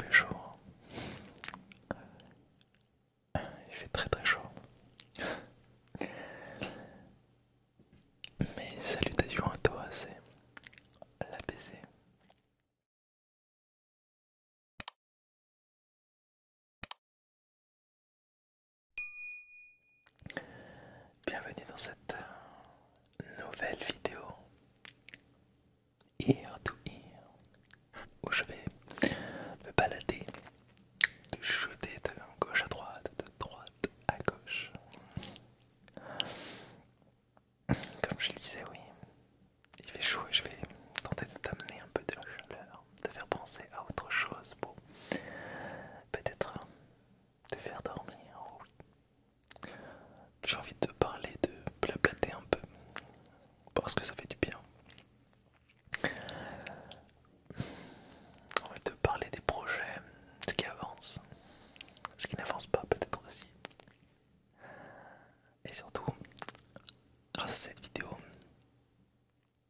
Il fait chaud. Hein. Il fait très très chaud. mais salutations à toi, c'est l'ABC. Bienvenue dans cette euh, nouvelle vidéo Ear to Ear où je vais me balader, de chuter de gauche à droite, de droite à gauche. Comme je le disais, oui, il fait chaud et je vais tenter de t'amener un peu de la chaleur, te faire penser à autre chose pour peut-être te faire dormir. Oh oui. J'ai envie de te parler, de blablater un peu, parce que ça fait du bien. On va te parler des projets, ce qui avance, ce qui n'avance pas peut-être aussi. Et surtout, grâce à cette vidéo,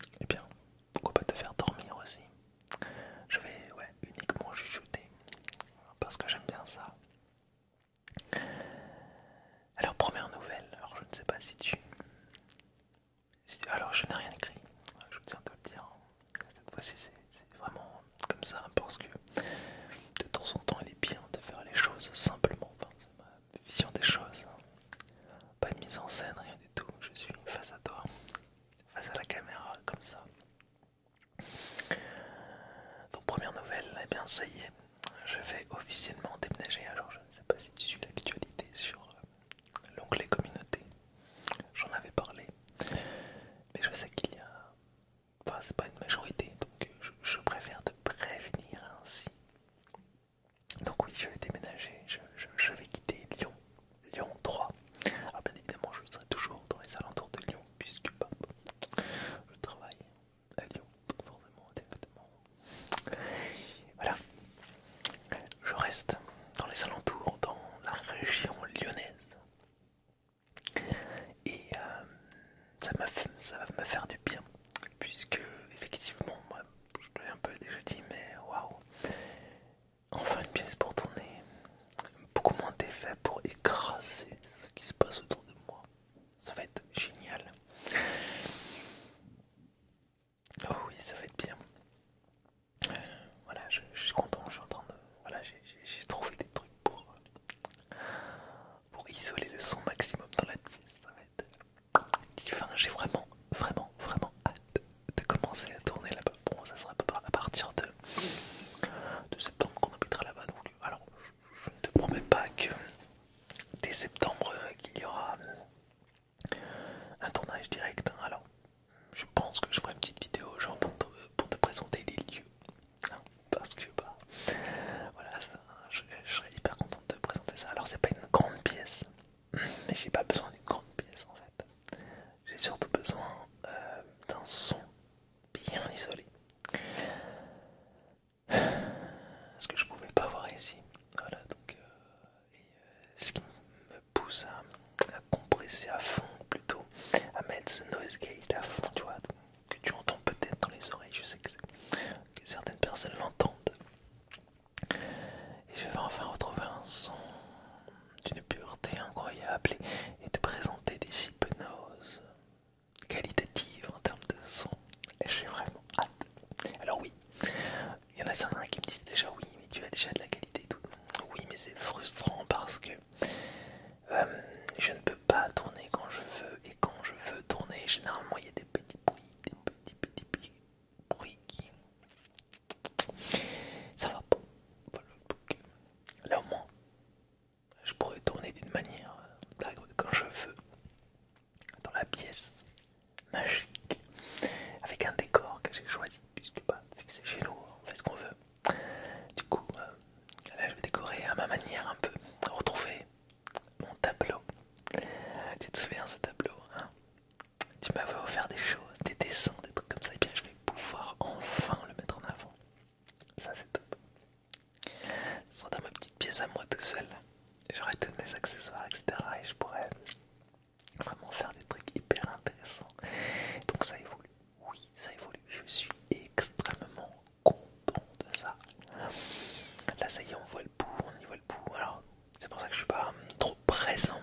et eh bien, pourquoi pas te faire dormir aussi. Je vais uniquement chuchoter parce que j'aime bien ça. Alors première nouvelle, alors je ne sais pas si tu... Alors je n'ai rien écrit, je tiens te le dire. Cette fois-ci c'est vraiment comme ça parce que de temps en temps il est bien de faire les choses simplement, c'est ma vision des choses. Hein. Pas de mise en scène, rien du tout, je suis face à toi, face à la caméra, comme ça. Donc première nouvelle, et eh bien ça y est, je vais officiellement déménager, alors je ne sais pas si tu suis l'actualité sur euh, l'onglet communauté, j'en avais parlé, mais je sais qu'il y a Enfin, c'est pas une majorité, donc euh, je, préfère te prévenir ainsi. Donc oui, je vais déménager, je, vais quitter Lyon, Lyon 3. Alors ah, bien évidemment, je serai toujours dans les alentours de Lyon, puisque bah, bah, je travaille à Lyon, forcément, directement. Voilà, je reste dans les alentours, dans la région lyonnaise et euh, ça ça va me faire du bien puisque effectivement moi je te l'ai un peu déjà dit mais waouh enfin une pièce pour tourner beaucoup moins d'effets pour écraser ce qui se passe autour de moi ça va être génial oh oui ça va être bien voilà je, suis content je suis en train de voilà j'ai trouvé des trucs pour pour isoler le son maximum dans la pièce. Ça va être divin. J'ai vraiment, vraiment, vraiment hâte de commencer la tournée là-bas. Bon, ça sera pas à partir de, septembre qu'on habitera là-bas. alors, je, ne te promets pas que dès septembre euh, qu'il y aura euh, un tournage direct. Hein. Alors, je pense que je ferai une petite vidéo genre pour te présenter les lieux parce que bah, voilà, je, serais hyper contente de présenter ça. Alors c'est pas une grande pièce, mais j'ai pas besoin d'une grande pièce en fait. J'ai surtout besoin euh, d'un son bien isolé. Ce que je pouvais pas voir ici, voilà donc. Euh, euh, ce qui me pousse à, compresser à fond plutôt, à mettre ce noise gate à fond, tu vois que tu entends peut-être dans les oreilles, je sais que, certaines personnes l'entendent. Et je vais enfin retrouver un son d'une pureté incroyable et, te présenter des hypnoses qualitatives en termes de son. J'ai vraiment hâte. Alors oui, il y en a certains qui me disent déjà oui, mais tu as déjà de la qualité et tout. Oui, mais c'est frustrant parce que euh, je ne peux pas tourner quand je veux quand je veux tourner, généralement il y a des petits bruits, des petits petits, bruits qui... Ça va pas. Euh, là au moins, je pourrais tourner d'une manière, euh, quand je veux, dans la pièce magique, avec un décor que j'ai choisi, puisque bah, c'est chez nous, on fait ce qu'on veut. Du coup, euh, là je vais décorer à ma manière un peu, retrouver mon tableau. Tu te souviens ce tableau hein Tu m'avais offert des choses, des dessins, des trucs comme ça, et bien je vais pouvoir enfin le mettre en avant. Ça c'est top. Ça sera dans ma petite pièce à moi tout seul. J'aurai tous mes accessoires, etc. Et je pourrais vraiment faire des trucs hyper intéressants. Donc ça évolue. Oui, ça évolue. Je suis extrêmement content de ça. Là, ça y est, on voit le bout, on y voit le bout. Alors, c'est pour ça que je suis pas euh, trop présent.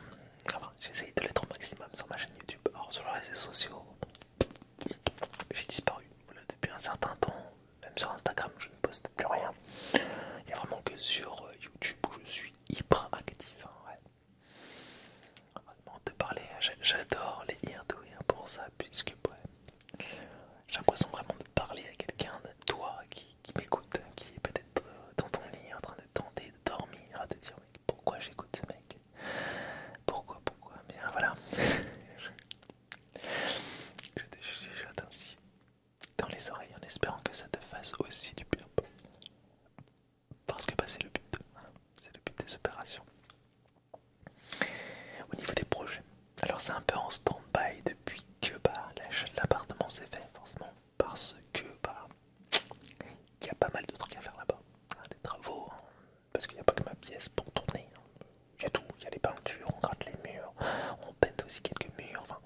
Enfin, j'essaye de l'être au maximum sur ma chaîne YouTube. Alors, sur les réseaux sociaux, j'ai disparu depuis un certain temps. Même sur Instagram, je ne poste plus rien. Il n'y a vraiment que sur euh, YouTube où je suis hyper actif. On hein, ouais. te de parler, j'adore les Here pour ça, puisque ouais, j'ai l'impression vraiment de parler à quelqu'un, de toi qui, m'écoute, qui est peut-être euh, dans ton lit en train de tenter de dormir, à te dire pourquoi j'écoute ce mec Pourquoi, pourquoi Mais euh, voilà. je te chuchote ainsi dans les oreilles en espérant que ça te fasse aussi du bien. Parce que bah, c'est le but, c'est le but des opérations. Au niveau des projets, alors c'est un peu en stand-by depuis que bah, l'achat de l'appartement s'est fait, forcément, parce que bah, il y a pas mal de trucs à faire là-bas, ah, des travaux, hein. parce qu'il n'y a pas que ma pièce pour tourner. Il y a tout, il y a les peintures, on gratte les murs, on pète aussi quelques murs, enfin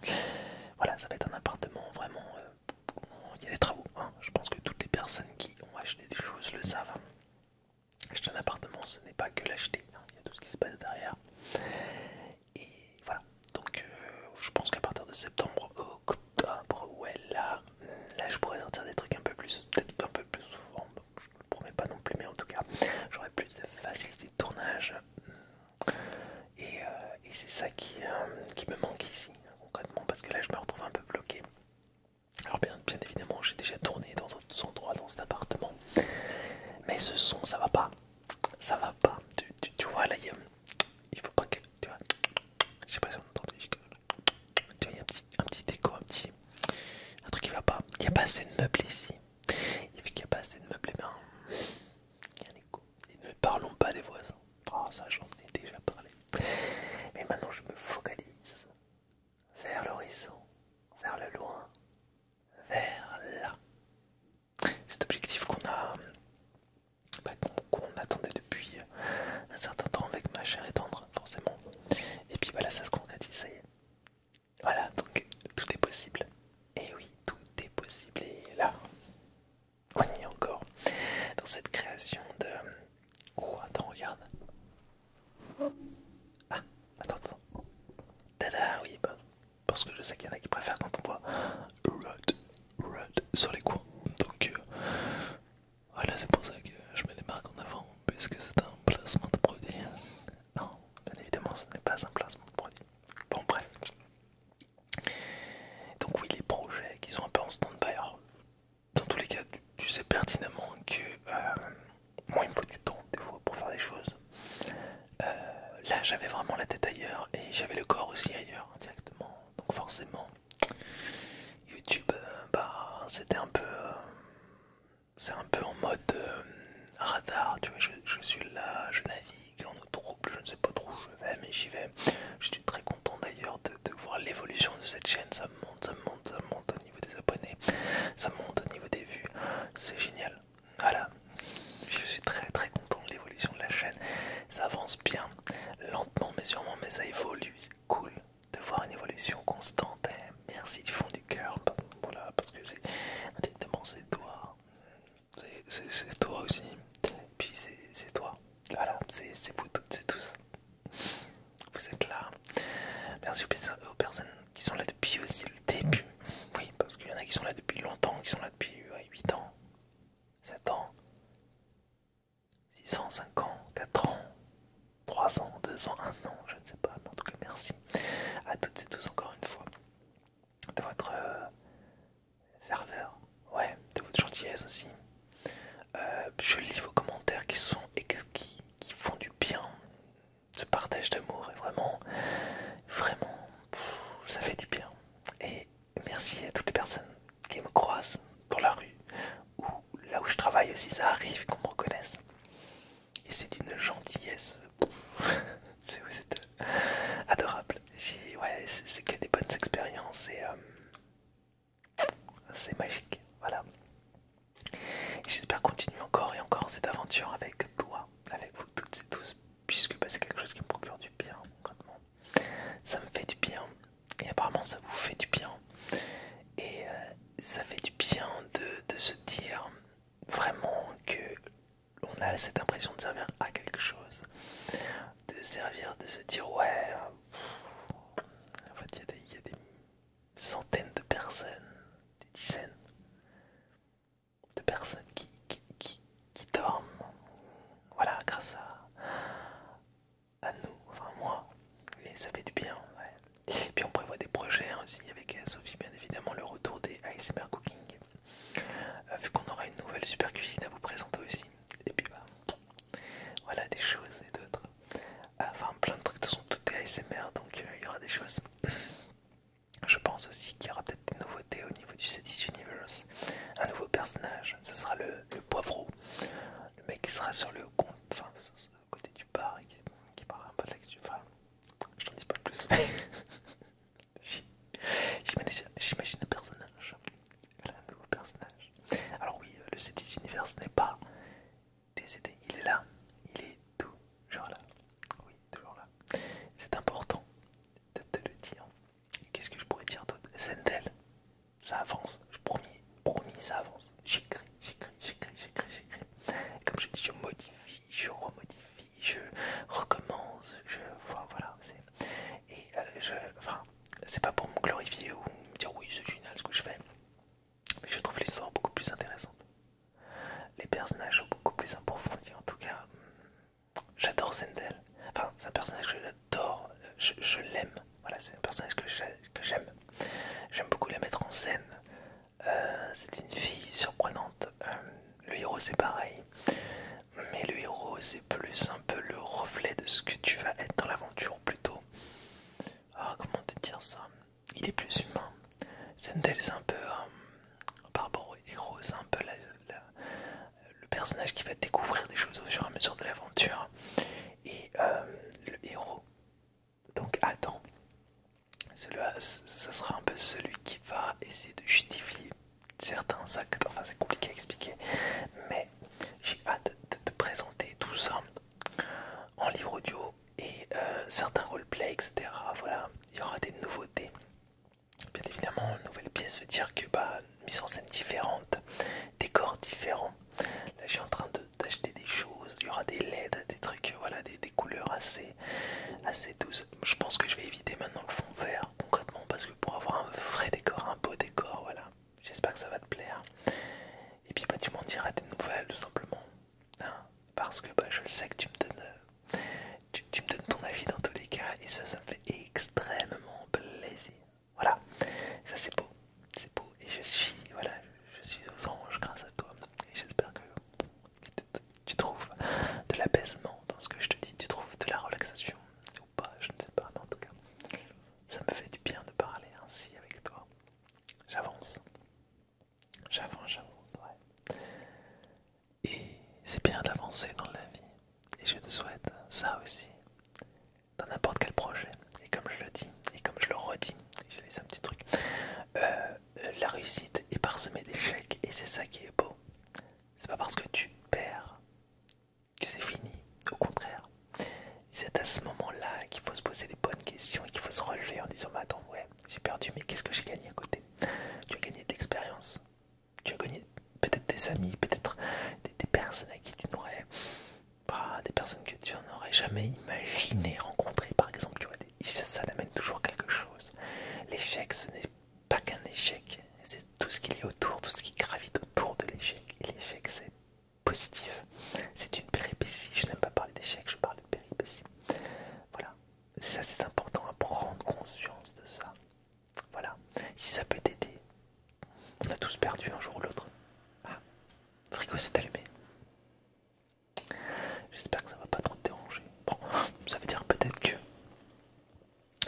voilà, ça va être un appartement vraiment, euh, il y a des travaux, hein. je pense que toutes les personnes qui ont acheté des choses le savent, Acheter un appartement, ce n'est pas que l'acheter, hein. il y a tout ce qui se passe derrière. Et voilà, donc euh, je pense qu'à partir de septembre, octobre, ouais, là, là je pourrais sortir des trucs un peu plus, peut-être un peu plus souvent, je ne le promets pas non plus, mais en tout cas, j'aurai plus de facilité de tournage. Et, euh, c'est ça euh, qui, me manque ici, hein, concrètement, parce que là je me retrouve un peu bloqué. Alors bien, bien évidemment, j'ai déjà tourné dans son droit dans cet appartement. Mais ce son, ça va pas. Ça va pas. Tu, vois, là, il, il faut pas que. Tu vois, je sais pas si on entend. Tu vois, il y a un petit, un petit déco, un petit. Un truc qui va pas. Il n'y a pas assez de meubles ici. Et vu qu'il n'y a pas assez de meubles, et eh bien Il y a un écho. ne parlons pas des voisins. Ah, ça, j'en ai déjà parlé. Mais maintenant, je me focalise vers l'horizon, vers le loin, vers là. Cet objectif qu'on a, bah, qu'on attendait depuis un certain temps avec ma chère et tendre, forcément. Et puis voilà, ça se concrétise, Voilà, donc tout est possible. Et eh oui, tout est possible. Et là, on y est encore dans cette création de. Oh, attends, regarde. Ah, attends, attends. Tada, oui, bah, parce que je sais qu'il y en a qui préfèrent quand on voit red » sur les coins. Donc euh, voilà, c'est pour ça que je mets les marques en avant, parce que c'est un placement de produit. Non, bien évidemment, ce n'est pas un placement de produit. Bon, bref. Donc oui, les projets qui sont un peu en stand-by. Dans tous les cas, tu, sais pertinemment que euh, moi il me faut du temps des fois pour faire des choses. Euh, là j'avais vraiment la tête ailleurs et j'avais le corps aussi ailleurs directement. Donc forcément YouTube euh, bah, c'était un peu euh, c'est un peu en mode radar, tu vois, je, suis là, je navigue en trouble, je ne sais pas trop où je vais mais j'y vais. Je suis très content d'ailleurs de, voir l'évolution de cette chaîne, ça monte, ça monte, ça monte des abonnés, ça monte au niveau des vues, c'est génial. Voilà, je suis très très content de l'évolution de la chaîne, ça avance bien, lentement mais sûrement, mais ça évolue, c'est cool de voir une évolution constante. Eh, merci du fond du cœur, voilà, parce que c'est c'est toi, c'est toi aussi, puis c'est toi, voilà, c'est vous toutes et tous. Vous êtes là. Merci aux personnes qui sont là depuis aussi le début. Oui, parce qu'il y en a qui sont là depuis longtemps, qui sont là depuis 8 ans, 7 ans, 6 ans, 5 ans, 4 ans, 3 ans, 2 ans, 1 an, je ne sais pas. Mais en tout cas, merci à toutes et tous encore une fois de votre euh, ferveur, ouais, de votre gentillesse aussi. Euh, je lis vos commentaires qui sont et qui font du bien ce partage d'amour est vraiment, vraiment, ça fait du bien. Et merci à toutes les personnes qui me croisent dans la rue ou là où je travaille aussi, ça arrive qu'on me reconnaisse. Et c'est d'une gentillesse, c'est euh, adorable. Ouais, c'est que des bonnes expériences et euh, c'est magique. Voilà. J'espère continuer encore et encore cette aventure avec toi, avec vous toutes et tous, puisque bah, c'est quelque chose qui me procure du bien, concrètement. Ça me fait du bien, et apparemment ça vous fait du bien. Et euh, ça fait du bien de, se dire vraiment que on a cette impression de servir à quelque chose, de servir, de se dire ouais, en fait il y a des centaines de personnes, des dizaines, de personnes qui, dorment, voilà, grâce à, nous, enfin moi, et ça fait du bien. Ouais. Et puis on prévoit des projets hein, aussi avec euh, Sophie, bien évidemment, le retour des ASMR Cooking, euh, vu qu'on aura une nouvelle super cuisine à vous présenter aussi. Et puis bah, voilà des choses et d'autres. Enfin, plein de trucs, de son façon, ASMR, donc euh, il y aura des choses. Je pense aussi qu'il y aura peut-être des nouveautés au niveau du Cetis Universe. Un nouveau personnage, ce sera le, le poivreau. Le mec qui sera sur le côté du bar et qui, parlera un peu de l'actu. je t'en dis pas plus. J'imagine un personnage. un nouveau personnage. Alors, oui, le Cetis Universe n'est pas décédé, il est là. Il est toujours là. Oui, toujours là. C'est important de te le dire. Qu'est-ce que je pourrais dire d'autre Sendel, ça avance. Je promis, promis, ça avance. J'écris, j'écris, j'écris, j'écris, j'écris. Comme je dis, je modifie, je remodifie, je recommence. Je vois, voilà, c'est. Et euh, je. Enfin, c'est pas pour me glorifier ou me dire oui, c'est génial ce que je fais. Mais je trouve l'histoire beaucoup plus intéressante. Les personnages sont beaucoup plus approfondis en tout cas. J'adore Zendel. Enfin, c'est un personnage que j'adore, je, l'aime. Voilà, c'est un personnage que j'aime. J'aime beaucoup la mettre en scène. Euh, c'est une fille surprenante. Euh, le héros, c'est pareil. Mais le héros, c'est plus un peu le reflet de ce que tu vas être dans l'aventure plutôt. Ah, comment te dire ça il est plus humain. Zendel, c'est un peu. Euh, par rapport au héros, c'est un peu le personnage qui va découvrir des choses au fur et à mesure de l'aventure. Et euh, le héros, donc Adam, ce sera un peu celui qui va essayer de justifier certains actes. Enfin, c'est compliqué à expliquer, mais j'ai hâte de te présenter tout ça en livre audio et euh, certains roleplay, etc. Voilà, il y aura des nouveautés. Bien évidemment, une nouvelle pièce veut dire que bah, mise en scène différente, décor différents. Là, je suis en train d'acheter des choses. Il y aura des LED, des trucs, voilà, des, couleurs assez, assez douces. Je pense que je vais éviter maintenant le fond vert, concrètement, parce que pour avoir un vrai décor, un beau décor, voilà. J'espère que ça va te plaire. Et puis, bah, tu m'en diras des nouvelles, tout simplement parce que bah, je le sais que tu me donnes, euh, tu, me donnes ton avis dans tous les cas et ça, ça me fait extrêmement plaisir. Voilà, ça c'est beau, c'est beau et je suis, voilà, je suis aux anges grâce à toi et j'espère que tu trouves de l'apaisement dans ce que je te dis, tu trouves de la relaxation ou pas, je ne sais pas, mais en tout cas, ça me fait du bien de parler ainsi avec toi. J'avance, J'avance, j'avance, ouais. Et c'est bien d'avancer dans la vie. Et je te souhaite ça aussi. Dans n'importe quel projet. Et comme je le dis, et comme je le redis, je laisse un petit truc. Euh, la réussite est parsemée d'échecs. Et c'est ça qui est beau. C'est pas parce que tu perds que c'est fini. Au contraire. C'est à ce moment-là qu'il faut se poser des bonnes questions et qu'il faut se relever en disant Mais attends, ouais, j'ai perdu, mais qu'est-ce que j'ai gagné à côté tu as gagné de l'expérience, tu as gagné peut-être des amis, peut-être des, personnes à qui tu n'aurais pas, des personnes que tu n'aurais jamais imaginé rencontrer, par exemple, tu vois, ça, ça amène toujours quelque chose. L'échec, ce n'est pas qu'un échec, c'est tout ce qu'il y a autour, tout ce qui gravite autour de l'échec. Et l'échec, c'est positif, c'est une péripétie. Je n'aime pas parler d'échec, je parle de péripétie. Voilà, ça c'est important à prendre conscience de ça. Voilà, si ça peut t'aider, on a tous perdu un jour ou l'autre. Ah, frigo s'est allumé. J'espère que ça va pas trop te déranger. Bon, ça veut dire peut-être que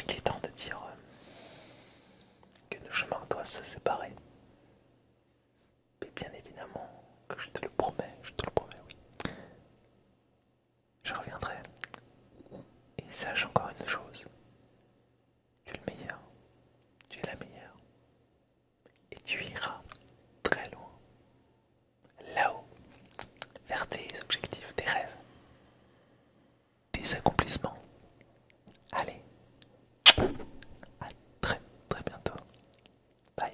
il est temps de dire euh, que nos chemins doivent se séparer. Mais bien évidemment que je te le promets, je te le promets, oui je reviendrai. Et sache encore une chose, tu es le meilleur, tu es la meilleure, et tu iras très loin, là-haut, vers tes objectifs, tes rêves, tes accomplissements. Allez, à très très bientôt. Bye.